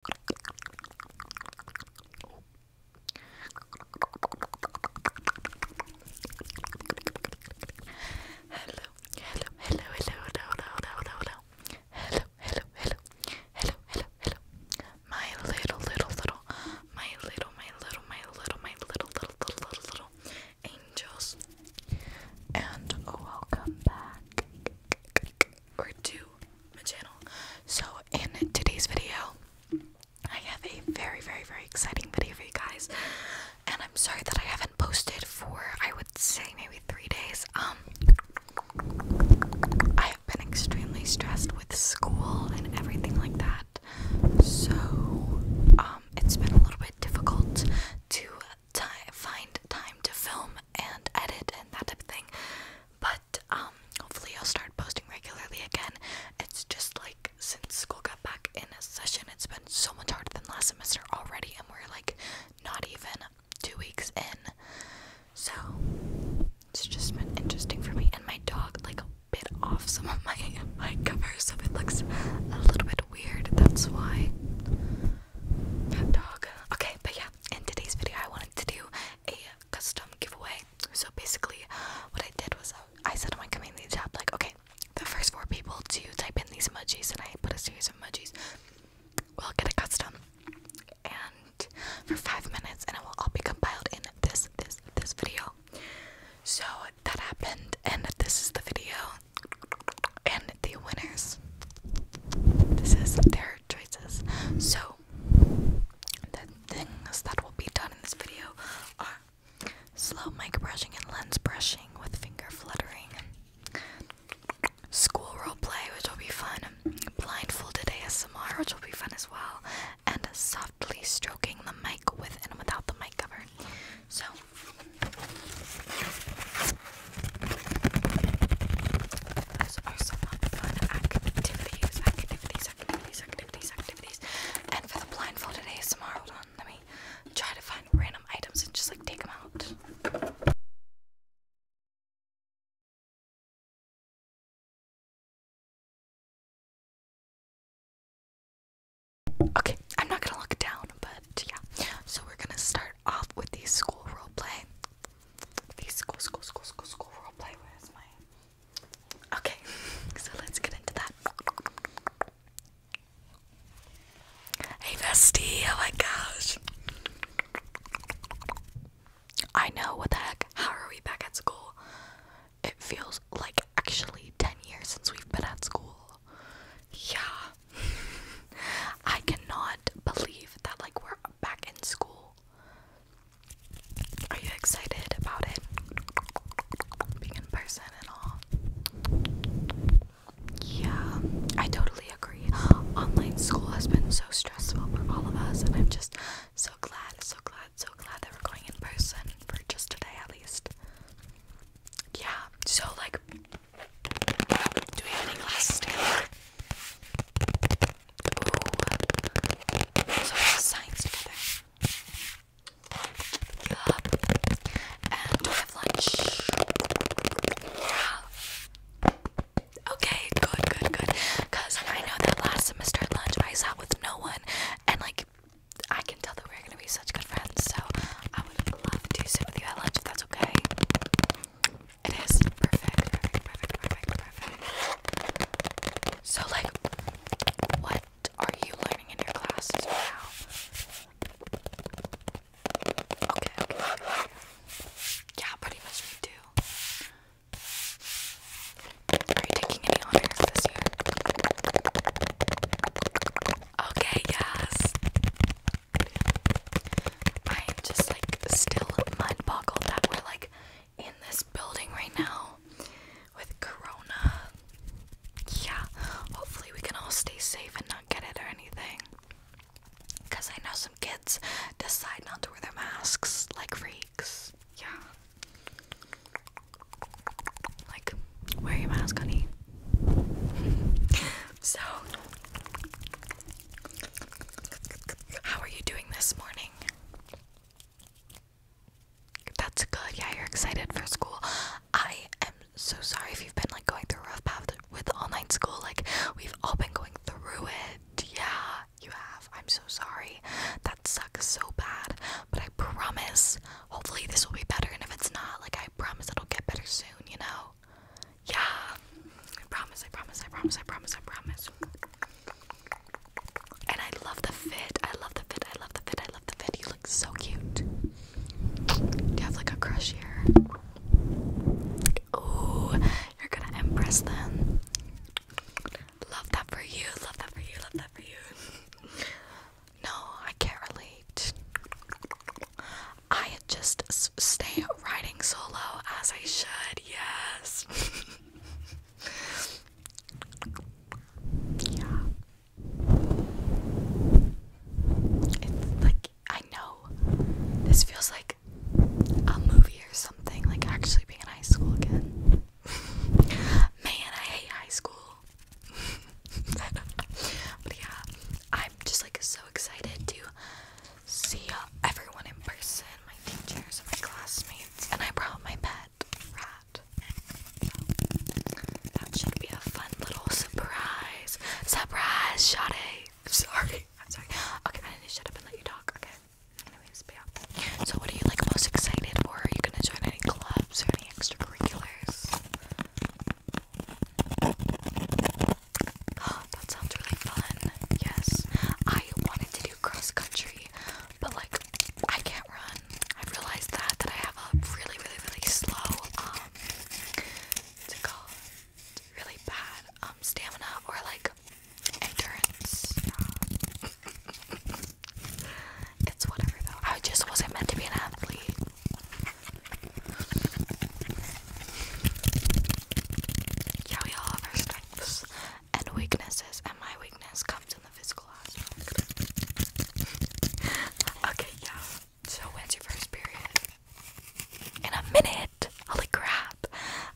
Hello, hello, hello, hello, hello, hello, hello, hello, hello, hello, hello, hello, hello, hello. My little, little, little, my little, my little, my little, my little, little, little, little, little angels, and welcome back or to my channel. So in today's video, I have a very, very, very exciting video for you guys. And I'm sorry that I haven't posted for I would say maybe three days. Um I have been extremely stressed with school and everything like that. So um it's been a little bit difficult to find time to film and edit and that type of thing. But um, hopefully I'll start posting regularly again. It's just like since school got back in session, it's been so much harder than last semester already, and we're like not even two weeks in. So it's just been interesting for me. And my dog like bit off some of my my covers, so it looks a little bit weird. That's why dog. Okay, but yeah, in today's video I wanted to do a custom giveaway. So basically, what I did was I, uh, I said on my community tab, like, okay, the first four people to type in these emojis, and I put a series of emojis, will get a custom, and for five minutes, and it will all be compiled in this, this, this video. So that happened, and this is the video, and the winners. This is their choices. So the things that will be done in this video are slow mic brushing and lens brushing with finger fluttering, school role play, which will be fun, blindfolded ASMR, which will be fun as well, and softly stroking the mic with and without the mic cover. So there's also fun activities, activities, activities, activities, activities. And for the blindfolded ASMR, hold on, let me try to find random items and just like take them out. Okay, I'm not gonna look down, but yeah. So we're gonna start off with the school role play these cool, cool, cool, cool, cool role play. Where is my? Okay, so let's get into that. Hey, bestie! Oh my gosh! I know what the heck. How are we back at school? It feels like actually ten years since we've been at school. Yeah. I cannot believe that like we're back in school. Are you excited about it? Being in person and all. Yeah, I totally agree. Online school has been so stressful for all of us, and I'm just so glad, so glad, so glad that we're going in person for just a day at least. Yeah, so like, do we have any classes Ooh. So we signs together. Yup. And we have lunch. Yeah. Okay, good, good, good. Cause I know that last semester at lunch I sat with no one and like I can tell that we're gonna be such good friends, so I would love to sit with you at lunch if that's okay. It is perfect, So, like, what are you learning in your classes now? Okay, okay, Yeah, pretty much me too. Are you taking any honors this year? Okay, yes. I'm just like still mind boggled that we're like in this building right now with Corona. Yeah, hopefully we can all stay safe and not get it or anything. Because I know some kids decide not to wear their masks like freaks. Yeah. Like, wear your mask, honey. so, how are you doing this morning? That's good. Yeah, you're excited for school. I am so sorry if you've been like going through a rough path with all-night school. Like we've all been going through it. Yeah, you have. I'm so sorry. That sucks so bad. But I promise. Hopefully this will be better. And if it's not, like I promise it'll get better soon. You know? Yeah. I promise, I promise, I promise, I promise, I promise. And I love the fit. I love the fit. I love the fit. I love the fit. You look so cute. Do you have like a crush here? Ooh, you're gonna impress them. Love that for you. Love that for you. Love that for you. no, I can't relate. I just stay riding solo as I should. Yes. yeah. It's like I know this feels like a movie or something, like actually being in high school again. Man, I hate high school. but yeah, I'm just like so excited to see everyone in person, my teachers my classmates, and I brought my pet rat. that should be a fun little surprise. Surprise, Sade. I'm sorry. I'm sorry. Okay, I need to shut up and let you talk. Okay. Anyways, but yeah. So what are you like most excited for? Are you gonna join any clubs or any extracurriculars? that sounds really fun. Yes. I wanted to do cross country, but like I can't run. I've realized that that I have a really, really, really slow um, what's it called? Really bad um stamina or like endurance. Um, it's whatever though. I just wasn't meant to be an athlete. Yeah, we all have our strengths and weaknesses, and my weakness comes in the physical aspect. okay, yeah. So when's your first period? In a minute. Holy crap.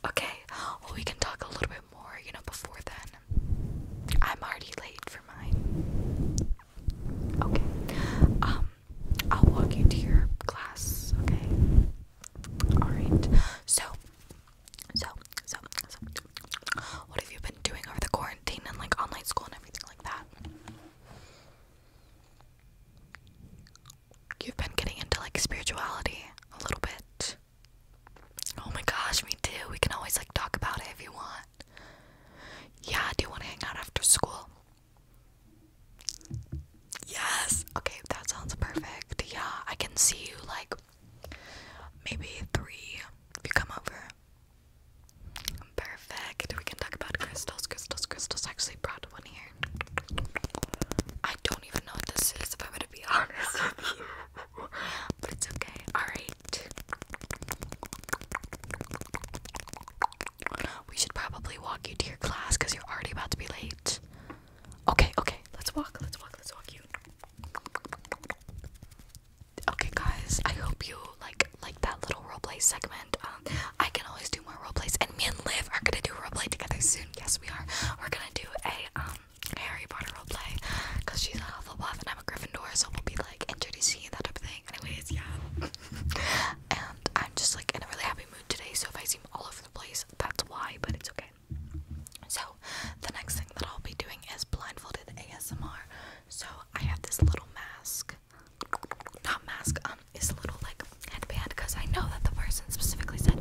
Okay. Well, we can talk a little bit more, you know, before then. I'm already late for mine. Okay. Um, I'll walk you to your class, okay? Alright. So, so, so, so, what have you been doing over the quarantine and like online school and everything like that? You've been getting into like spirituality a little bit. Oh my gosh, me too. We can always like talk about it if you want. Yeah, do you want to hang out after school? Yes. Okay, that sounds perfect. Yeah, I can see you like maybe three if you come over. Perfect. We can talk about crystals. Crystals, crystals. actually brought one here. I don't even know what this is if I'm to be honest But it's okay. Alright. We should probably walk you to your class because you're already about to be late. Okay, okay, let's walk, let's walk, let's walk you. Okay guys, I hope you like like that little roleplay segment. Um, I can always do more roleplays and me and Liv are gonna do roleplay together soon. Yes we are. We're gonna do a um Harry Potter roleplay because she's a Hufflepuff and I'm a Gryffindor, so we'll be like introducing you, that type of thing. Anyways, yeah. and I'm just like in a really happy mood today, so if I seem all over the place, that's why, but it's okay. So, the next thing that I'll be doing is blindfolded ASMR. So, I have this little mask. Not mask, um, it's a little like headband because I know that the person specifically said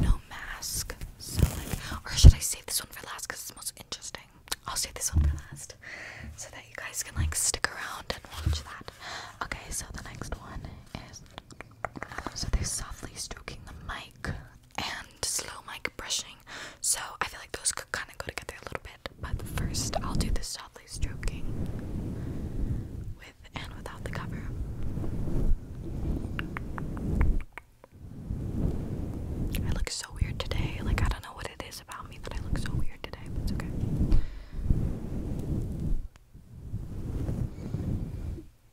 no mask. So, like, or should I save this one for last because it's most interesting? I'll save this one for last so that you guys can like stick around and watch that. Okay, so the next one is so they're softly stroking the mic and slow mic brushing. So I feel like those could kind of go together a little bit. But first, I'll do the softly stroking with and without the cover. I look so weird today. Like, I don't know what it is about me that I look so weird today, but it's okay.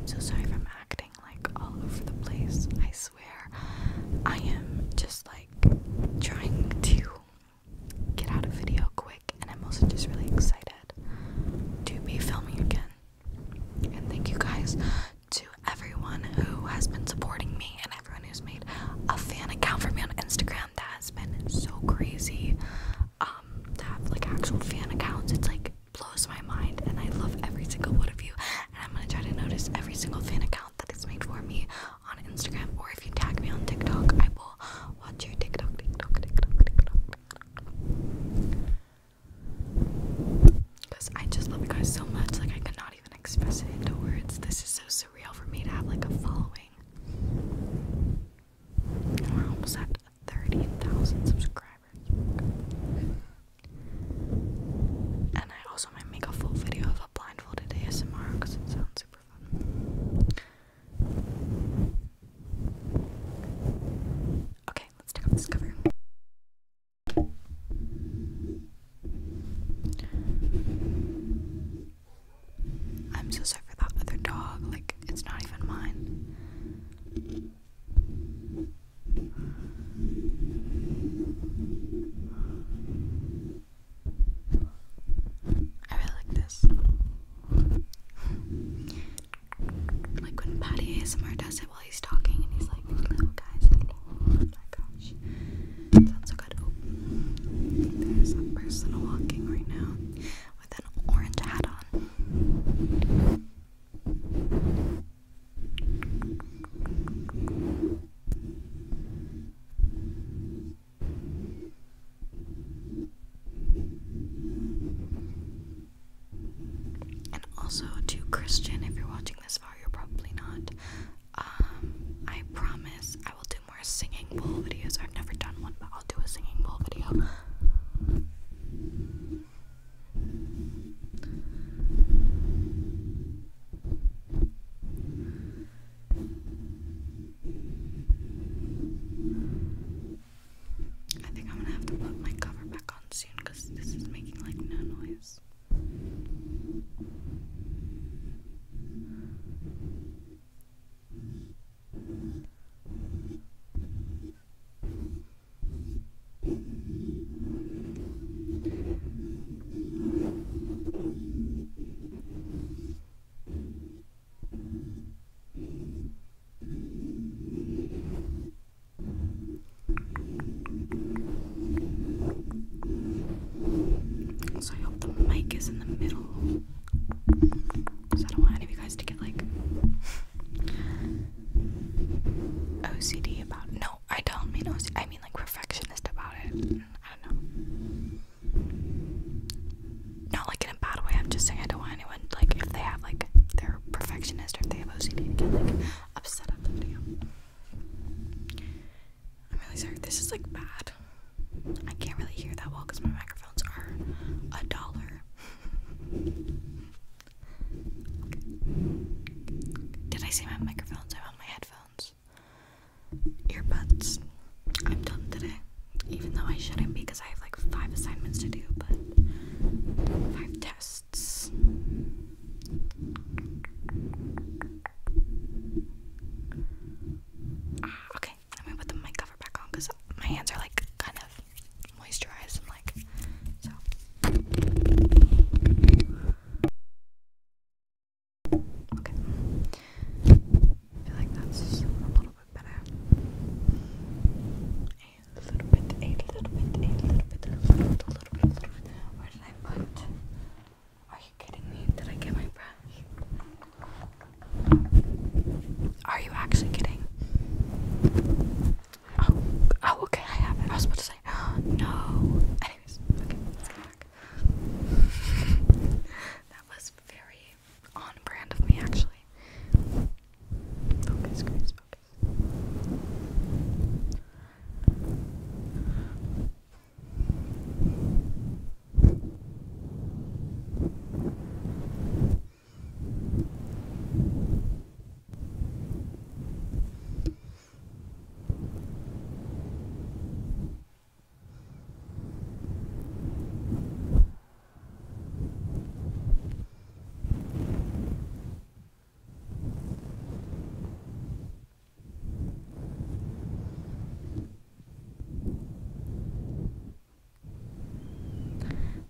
I'm so sorry if acting like all over the place. I swear. I am just like trying to get out of video quick, and I'm also just really excited to be filming again. And thank you guys to everyone who has been supporting me and everyone who's made a fan account for me on Instagram. That has been so crazy. Um, to have like actual fan accounts, it's like blows my mind, and I love every single one of you. And I'm gonna try to notice every single fan account that is made for me on Instagram or if you tag me on TikTok, I will watch your TikTok, TikTok, TikTok, TikTok. Because I just love you guys so much, like I cannot even express it into words. This is so surreal for me to have like a following. we're almost at 30,000 subscribers. And I also might make a full video of a blindfolded ASMR because it sounds super fun. Okay, let's take off this cover. I'm so sorry for that other dog, like, it's not even mine. I really like this. like when Patty ASMR does it while he's talking and he's like, guys, Oh my gosh. sounds so good. there's a person walking right now with an orange hat on. And also to Christian, if you're watching this far, you're probably not. Um, I promise I will do more singing bowl videos. I've never done one, but I'll do a singing bowl video. I think I'm gonna have to put my cover back on soon because this is making like no noise. Also, I hope the mic is in the middle because I don't want any of you guys to get like OCD about. No, I don't mean OCD. I mean like perfectionist about it. I don't know. Not like in a bad way, I'm just saying I don't want anyone, like, if they have, like, they're perfectionist or they have OCD, to like, upset at the I'm really sorry, this is, like, bad. I can't really hear that well because my microphones are a dollar. Did I say my microphones? I want my headphones earbuds. I'm done today, even though I shouldn't because I have like five assignments to do, but five tests. Ah, okay, let me put the mic cover back on because my hands are like kind of moisturized and like so. Okay. I feel like that's a little uh, are you kidding me? Did I get my brush? Are you actually kidding? Oh, oh, okay, I have it. I was about to say, no. Anyways, okay, let's go back. that was very on brand of me, actually. Focus, Grace, focus.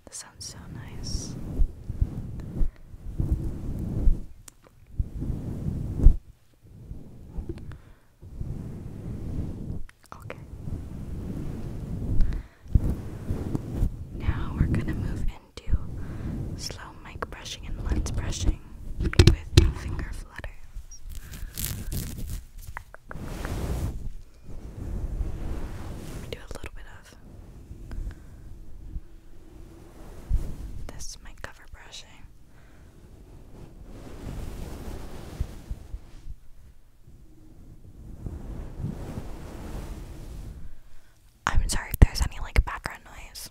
This sounds so nice. Okay. Now we're gonna move into slow mic brushing and lens brushing with finger flutters. Do a little bit of this my cover brushing. I'm sorry if there's any like background noise.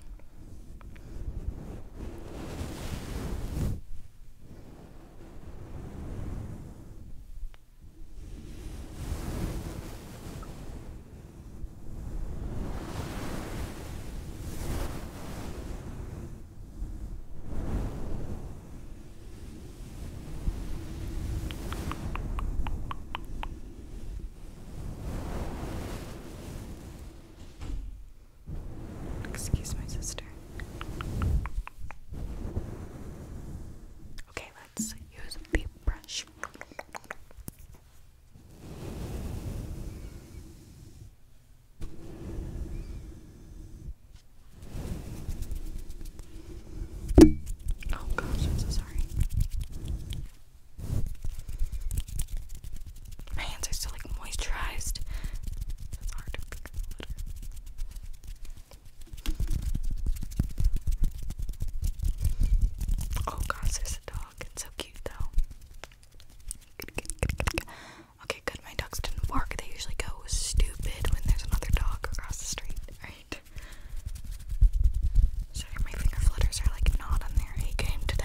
Excuse my sister. Okay, let's use a brush. Oh gosh, I'm so sorry. My hands are still like moisturized. It's hard to Oh gosh, there's a dog. It's so cute though. Okay, good. My dogs didn't bark. They usually go stupid when there's another dog across the street, right? Sorry, my finger are like not on their A game today.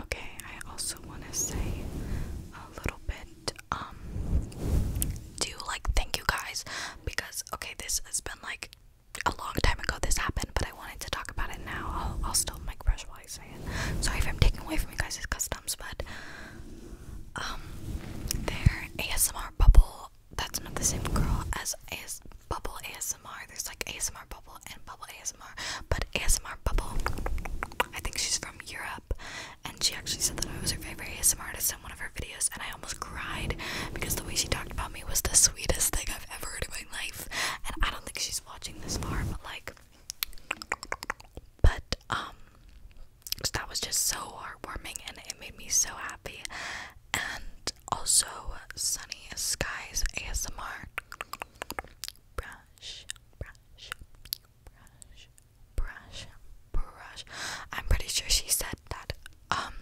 Okay, I also want to say a little bit should um do like thank you guys because okay this has been like a long time ago this happened but I wanted to talk about it now. I'll, I'll still mic brush while I say it. Sorry if I'm taking away from you guys' customs but um their ASMR bubble that's not the same girl as AS bubble ASMR. There's like ASMR bubble and bubble ASMR but ASMR bubble I think she's from Europe and she actually said that I was her favorite ASMR artist in one of her videos, and I almost cried because the way she talked about me was the sweetest thing I've ever heard in my life. And I don't think she's watching this far, but like, but um, that was just so heartwarming, and it made me so happy. And also, Sunny Skies ASMR brush, brush. I'm pretty sure she said that. Um,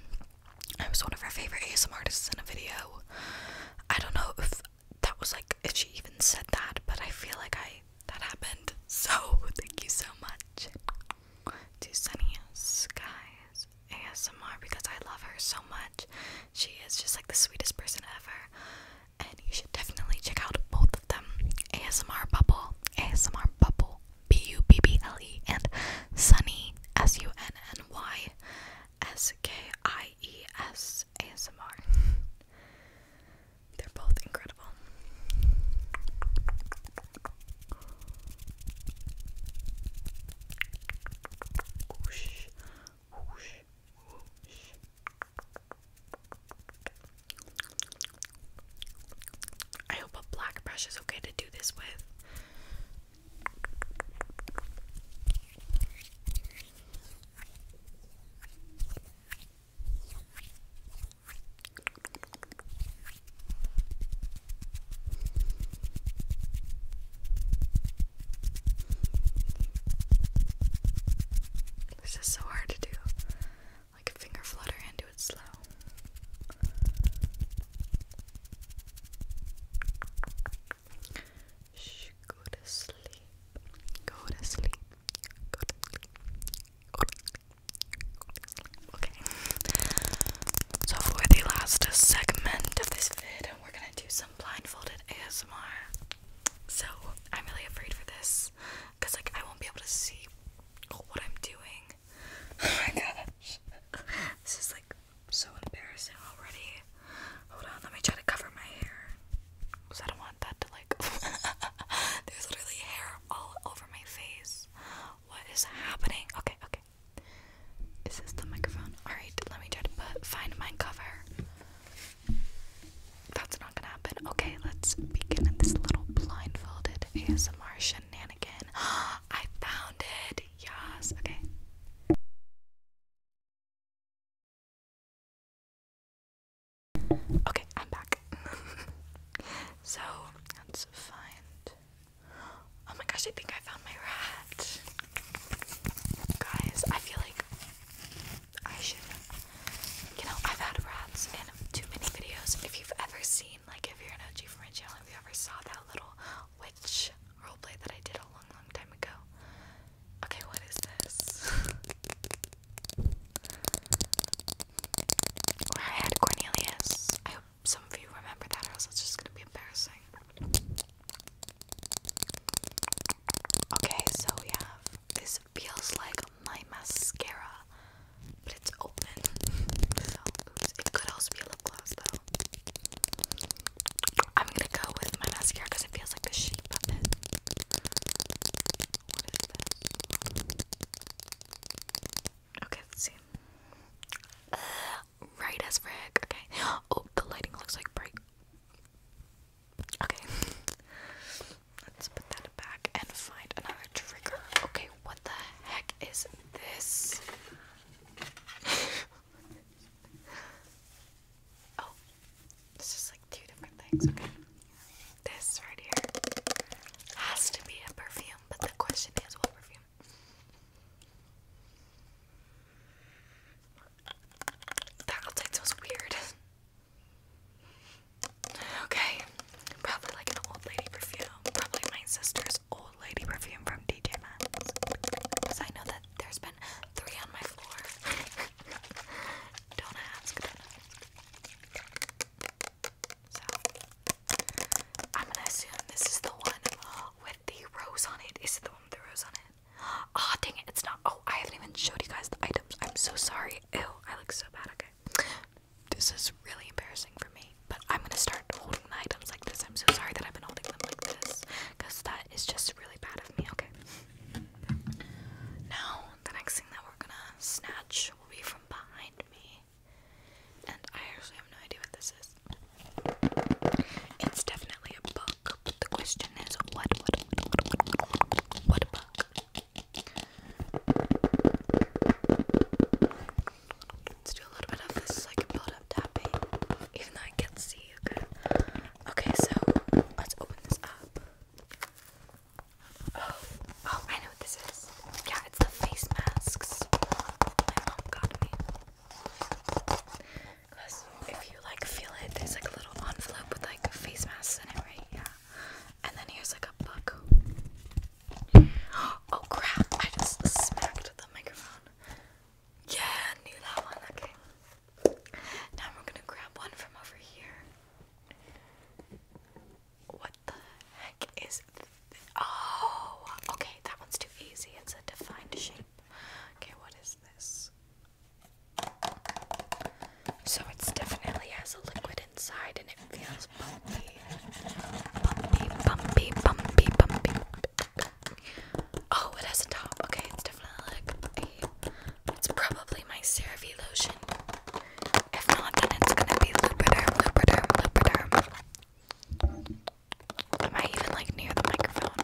I was one of her favorite ASMR artists in a video. I don't know if that was like if she even said that, but I feel like I that happened. So thank you so much to Sunny Skies ASMR because I love her so much. She is just like the sweetest person ever and you should definitely check out both of them ASMR Bubble, ASMR Bubble, B U B B L E, and Sunny, S U N N Y S K I E S ASMR. They're both incredible. I hope a black brush is okay to do this with. This is so hard to do like a finger flutter and do it slow. Shh, go to sleep. Go to sleep. Go to sleep. Okay. So for the last segment of this vid, we're gonna do some blindfolded ASMR. So I'm really afraid for this because like I won't be able to see what I'm doing. Oh my gosh, this is like so embarrassing already. Hold on, let me try to cover my hair because I don't want that to like. There's literally hair all over my face. What is happening? Okay, okay. Is this the microphone? Alright, let me try to find my cover. That's not gonna happen. Okay, let's begin this little blindfolded ASMR shenanigan. I found it! Yes, okay. Okay, I'm back. so, let's find. Oh my gosh, I think I found my rat. Guys, I feel like I should. You know, I've had rats in too many videos. If you've ever seen, like, if you're an OG from my channel, if you ever saw that little witch roleplay that I did a long, long time ago. Okay, what is this? I had Cornelius. I hope some of you remember that, or else it's just gonna be embarrassing. Okay, so we have this this feels like my mascara, but it's open. It could also be a lip gloss, though. I'm gonna go with my mascara because it feels like the shape of it. Okay, let's see. Uh, right as frick. Okay. Oh, the lighting looks like bright. Okay. Let's put that back and find another trigger. Okay, what the heck is this? oh, this is like two different things. Okay. This right here has to be a perfume, but the question is what perfume? That outside smells weird. Okay, probably like an old lady perfume. Probably my sister's old lady perfume from DJ Because I know that there's been three on my floor. don't ask, So, I'm gonna assume this is the one with the rose on it. Is it the one with the rose on it? Ah, dang it, it's not. Oh, I haven't even showed you guys the items. I'm so sorry. Ew, I look so bad Okay. This is really embarrassing for me, but I'm gonna start holding the items like this. I'm so sorry that I've been holding them like this, because that is just really bad of me, okay? Now, the next thing that we're gonna snatch will be from behind me. And I actually have no idea what this is. It's definitely a book, but the question is what, what, what, what, what book? Let's do a little bit of this like so build up tapping, even though I can't see you Okay, so let's open this up. Oh, oh, I know what this is. Yeah, it's the face masks. My mom got me. Because if you like feel it, there's like a little envelope with like face masks in it, right? Yeah. And then here's like a book. Oh crap, I just smacked the microphone. Yeah, I knew that one. Okay. Now we're gonna grab one from over here. What the heck is Oh, okay, that one's too easy. It's a defined shape. Okay, what is this? So it definitely has a liquid inside and it feels bumpy. Bumpy, bumpy, bumpy, bumpy, Oh, it has a top. Okay, it's definitely like a. It's probably my CeraVe lotion. If not, then it's gonna be Lubriderm, Lubriderm, Lubriderm. Am I even like near the microphone?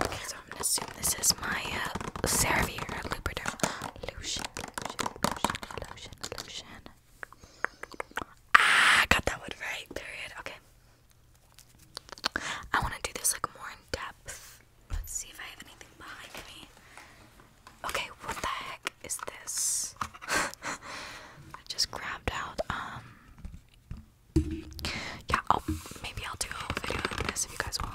okay, so I'm gonna assume this is my uh, CeraVe or Lubriderm lotion, lotion, lotion, lotion, lotion. Ah, got that one right. Period. Okay. I want to do this like more in depth. Let's see if I have anything behind me. Okay, what the heck is this? I just grabbed out. Um. Yeah. Oh, maybe I'll do a video of this if you guys want.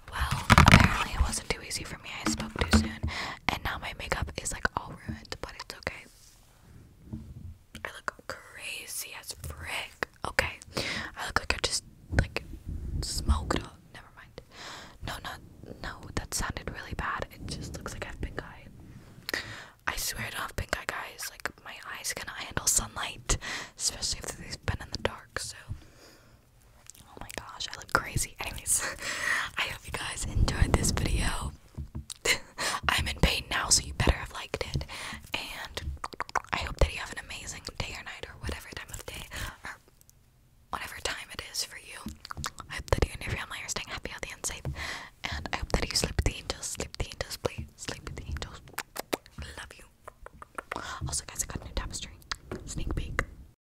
Well, apparently it wasn't too easy for me. I spoke too soon, and now my makeup is like all ruined, but it's okay. I look crazy as frick. Okay, I look like I just like smoked up. Never mind. No, no, no. That sounded really bad. It just looks like I have pink eye. I swear I don't have pink eye, guys. Like my eyes cannot handle sunlight, especially if they've been in the dark. So Oh my gosh, I look crazy. Anyways, I hope you guys enjoyed this video. I'm in pain now, so you better have liked it. And I hope that you have an amazing day or night or whatever time of day or whatever time it is for you. I hope that you and your family are staying happy, healthy, and safe. And I hope that you sleep with the angels, sleep with the angels, please. Sleep with the angels. Love you. Also, guys, I got a new tapestry. Sneak peek.